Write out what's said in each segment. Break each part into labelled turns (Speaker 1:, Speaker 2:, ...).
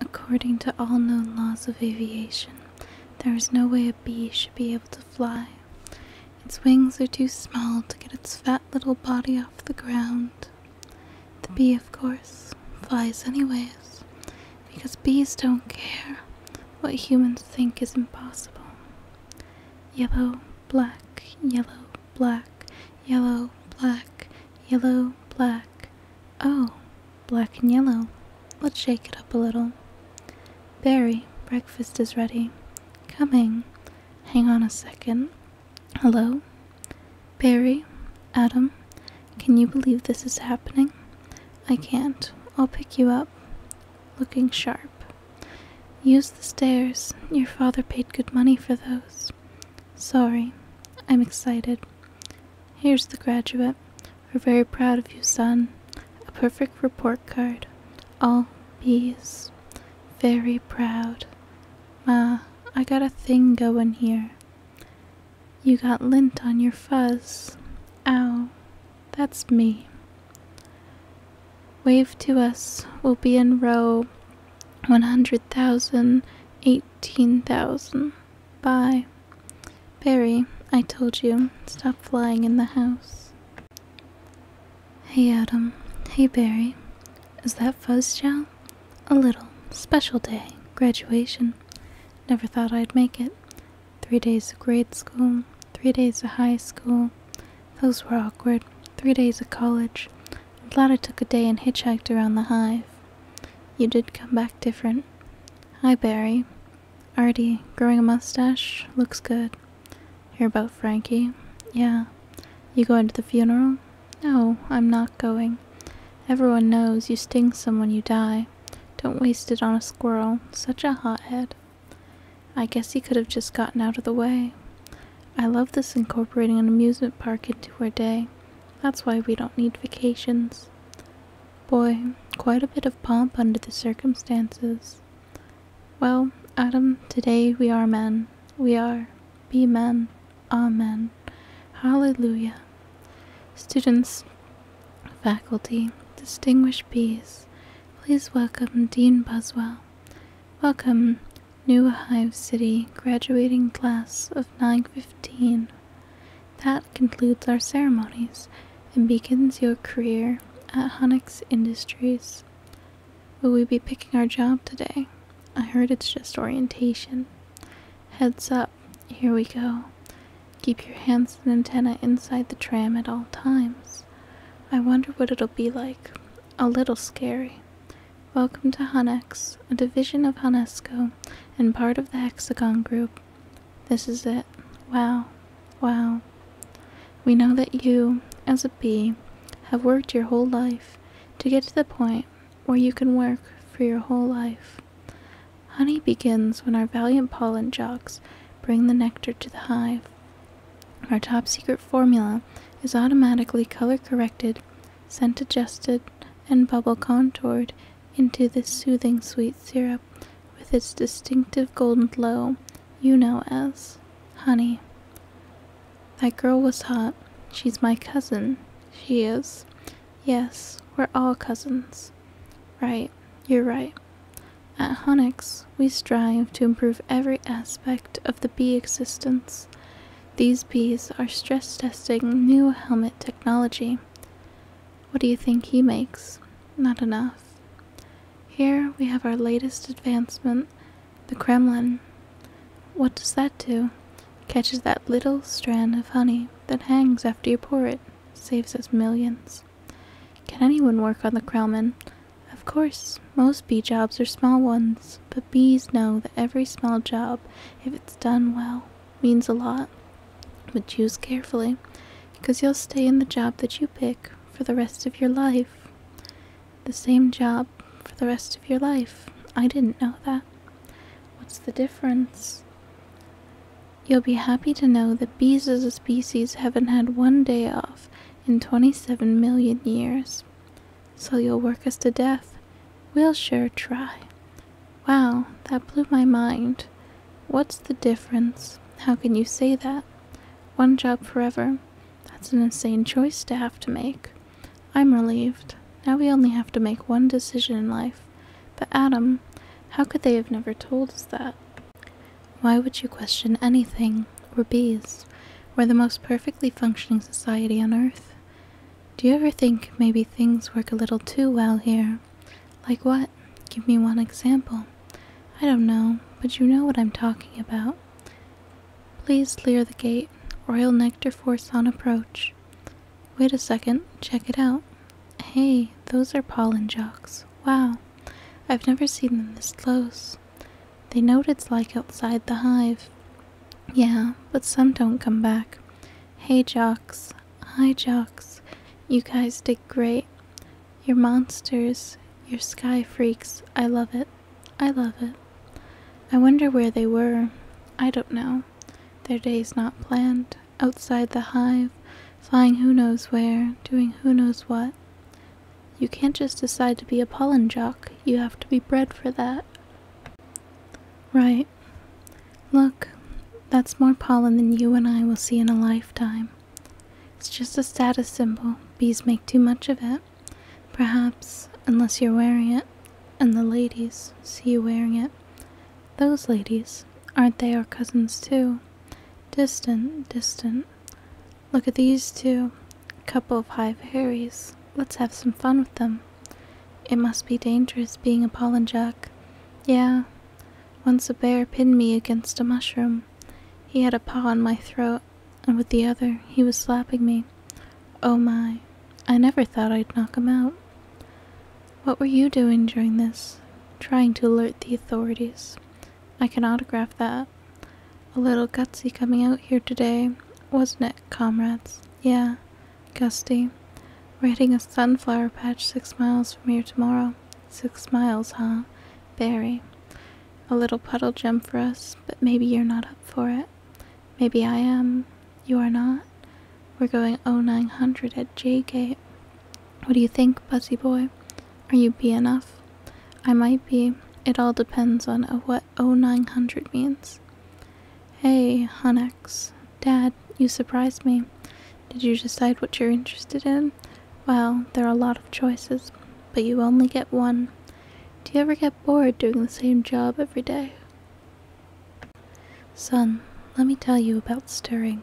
Speaker 1: According to all known laws of aviation, there is no way a bee should be able to fly. Its wings are too small to get its fat little body off the ground. The bee, of course, flies anyways, because bees don't care what humans think is impossible. Yellow, black, yellow, black, yellow, black, yellow, black, Oh, black and yellow. Let's shake it up a little. Barry, breakfast is ready. Coming. Hang on a second. Hello? Barry, Adam, can you believe this is happening? I can't. I'll pick you up. Looking sharp. Use the stairs. Your father paid good money for those. Sorry. I'm excited. Here's the graduate. We're very proud of you, son. A perfect report card. All B's. Very proud. Ma, I got a thing going here. You got lint on your fuzz. Ow. That's me. Wave to us. We'll be in row 100,000. 15,000. Bye. Barry, I told you, stop flying in the house. Hey Adam. Hey Barry. Is that fuzz gel? A little. Special day. Graduation. Never thought I'd make it. Three days of grade school. Three days of high school. Those were awkward. Three days of college. Glad I took a day and hitchhiked around the hive. You did come back different. Hi, Barry. Artie, growing a mustache? Looks good. Hear about Frankie? Yeah. You going to the funeral? No, I'm not going. Everyone knows you sting someone you die. Don't waste it on a squirrel. Such a hothead. I guess he could have just gotten out of the way. I love this incorporating an amusement park into our day. That's why we don't need vacations. Boy, quite a bit of pomp under the circumstances. Well, Adam, today we are men. We are. Be men. Amen. Hallelujah. Students, faculty, distinguished bees, please welcome Dean Buswell. Welcome, New Hive City graduating class of 915. That concludes our ceremonies and begins your career at Honex Industries. Will we be picking our job today? I heard it's just orientation. Heads up, here we go. Keep your hands and antenna inside the tram at all times. I wonder what it'll be like. A little scary. Welcome to Hunex, a division of Hunesco and part of the Hexagon Group. This is it. Wow. Wow. We know that you, as a bee, have worked your whole life to get to the point where you can work for your whole life. Honey begins when our valiant pollen jocks bring the nectar to the hive. Our top secret formula is automatically color corrected, scent adjusted, and bubble contoured into this soothing sweet syrup with its distinctive golden glow you know as honey. That girl was hot. She's my cousin. She is. Yes, we're all cousins. Right, you're right. At Honix, we strive to improve every aspect of the bee existence. These bees are stress testing new helmet technology. What do you think he makes? Not enough. Here we have our latest advancement, the Kremlin. What does that do? Catches that little strand of honey that hangs after you pour it, saves us millions. Can anyone work on the Kremlin? Of course, most bee jobs are small ones, but bees know that every small job, if it's done well, means a lot. But choose carefully, because you'll stay in the job that you pick for the rest of your life. The same job for the rest of your life. I didn't know that. What's the difference? You'll be happy to know that bees as a species haven't had one day off in 27 million years. So you'll work us to death. We'll sure try. Wow, that blew my mind. What's the difference? How can you say that? One job forever. That's an insane choice to have to make. I'm relieved. Now we only have to make one decision in life. But Adam, how could they have never told us that? Why would you question anything? We're bees. We're the most perfectly functioning society on Earth. Do you ever think maybe things work a little too well here? Like what? Give me one example. I don't know, but you know what I'm talking about. Please clear the gate. Royal Nectar Force on approach. Wait a second, check it out. Hey, those are pollen jocks. Wow, I've never seen them this close. They know what it's like outside the hive. Yeah, but some don't come back. Hey, Jocks. Hi, Jocks. You guys did great. You're monsters. You're sky freaks. I love it. I love it. I wonder where they were. I don't know. Their day's not planned. Outside the hive flying who knows where, doing who knows what. You can't just decide to be a pollen jock, you have to be bred for that. Right. Look, that's more pollen than you and I will see in a lifetime. It's just a status symbol. Bees make too much of it. Perhaps, unless you're wearing it, and the ladies see you wearing it. Those ladies, aren't they our cousins too? Distant, distant, Look at these two. Couple of hive Harrys. Let's have some fun with them. It must be dangerous being a pollen jack. Yeah. Once a bear pinned me against a mushroom. He had a paw on my throat, and with the other he was slapping me. Oh my. I never thought I'd knock him out. What were you doing during this? Trying to alert the authorities. I can autograph that. A little gutsy coming out here today, wasn't it, comrades? Yeah, gusty. We're hitting a sunflower patch six miles from here tomorrow. Six miles, huh? Barry. A little puddle jump for us, but maybe you're not up for it. Maybe I am. You are not. We're going 0900 at J Gate. What do you think, Pussy Boy? Are you B enough? I might be. It all depends on what 0900 means. Hey, Hunex. Dad, you surprised me. Did you decide what you're interested in? Well, there are a lot of choices, but you only get one. Do you ever get bored doing the same job every day? Son, let me tell you about stirring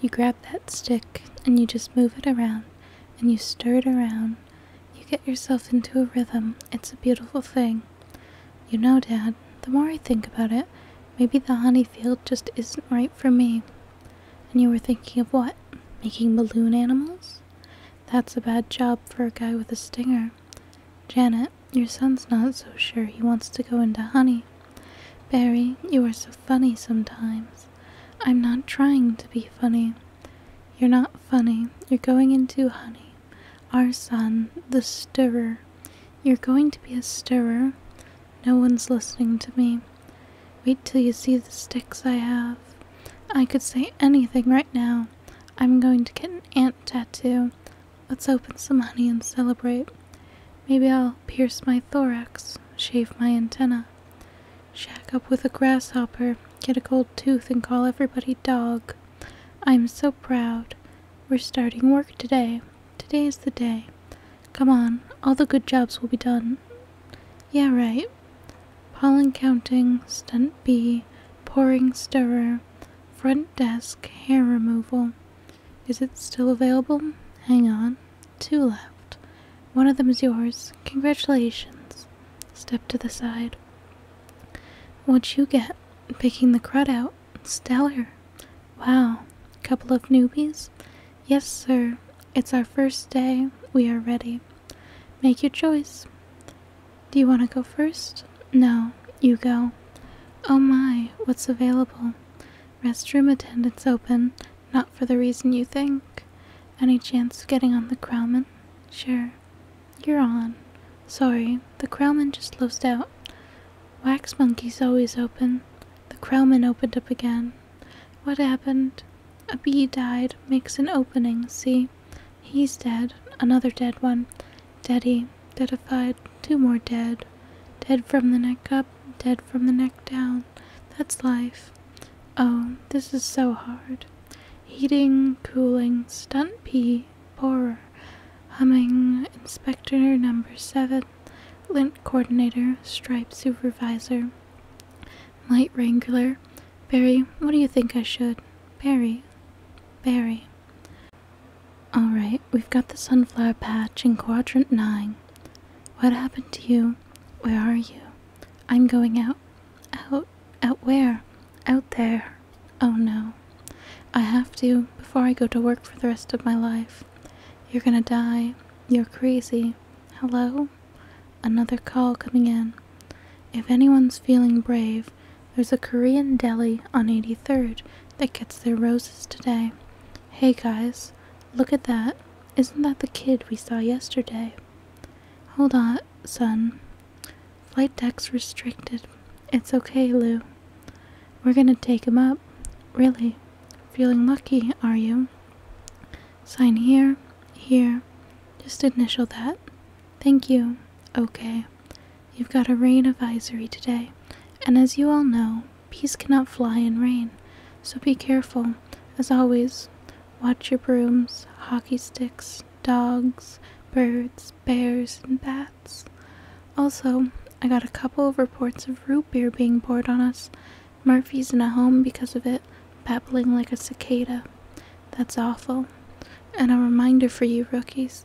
Speaker 1: you grab that stick and you just move it around and you stir it around. You get yourself into a rhythm. It's a beautiful thing. You know, Dad, the more I think about it, maybe the honey field just isn't right for me. And you were thinking of what? Making balloon animals? That's a bad job for a guy with a stinger. Janet, your son's not so sure he wants to go into honey. Barry, you are so funny sometimes. I'm not trying to be funny. You're not funny. You're going into honey. Our son, the stirrer. You're going to be a stirrer. No one's listening to me. Wait till you see the sticks I have. I could say anything right now. I'm going to get an ant tattoo. Let's open some honey and celebrate. Maybe I'll pierce my thorax, shave my antenna, shack up with a grasshopper, get a gold tooth, and call everybody dog. I'm so proud. We're starting work today. Today is the day. Come on, all the good jobs will be done. Yeah, right. Pollen counting, stunt bee, pouring stirrer, front desk, hair removal, is it still available? Hang on. Two left. One of them is yours. Congratulations. Step to the side. What'd you get? Picking the crud out. Stellar. Wow. Couple of newbies? Yes, sir. It's our first day. We are ready. Make your choice. Do you want to go first? No, you go. Oh my, what's available? Restroom attendants open, not for the reason you think. Any chance of getting on the Crowman? Sure. You're on. Sorry, the Crowman just closed out. Wax Monkey's always open. The Crowman opened up again. What happened? A bee died, makes an opening, see? He's dead, another dead one. Daddy, deadified, two more dead. Dead from the neck up, dead from the neck down. That's life. Oh, this is so hard. Heating, cooling, stunt pee, borer, humming, inspector number seven, lint coordinator, stripe supervisor, light wrangler. Barry, what do you think I should? Barry, Barry. Alright, we've got the sunflower patch in quadrant 9. What happened to you? Where are you? I'm going out. Out? Out where? Out there. Oh no. I have to before I go to work for the rest of my life. You're gonna die. You're crazy. Hello? Another call coming in. If anyone's feeling brave, there's a Korean deli on 83rd that gets their roses today. Hey guys, look at that. Isn't that the kid we saw yesterday? Hold on, son. Flight deck's restricted. It's okay, Lou. We're gonna take him up. Really? Feeling lucky, are you? Sign here, here. Just initial that. Thank you. Okay. You've got a rain advisory today, and as you all know, peas cannot fly in rain, so be careful. As always, watch your brooms, hockey sticks, dogs, birds, bears, and bats. Also, I got a couple of reports of root beer being poured on us. Murphy's in a home because of it, babbling like a cicada. That's awful. And a reminder for you rookies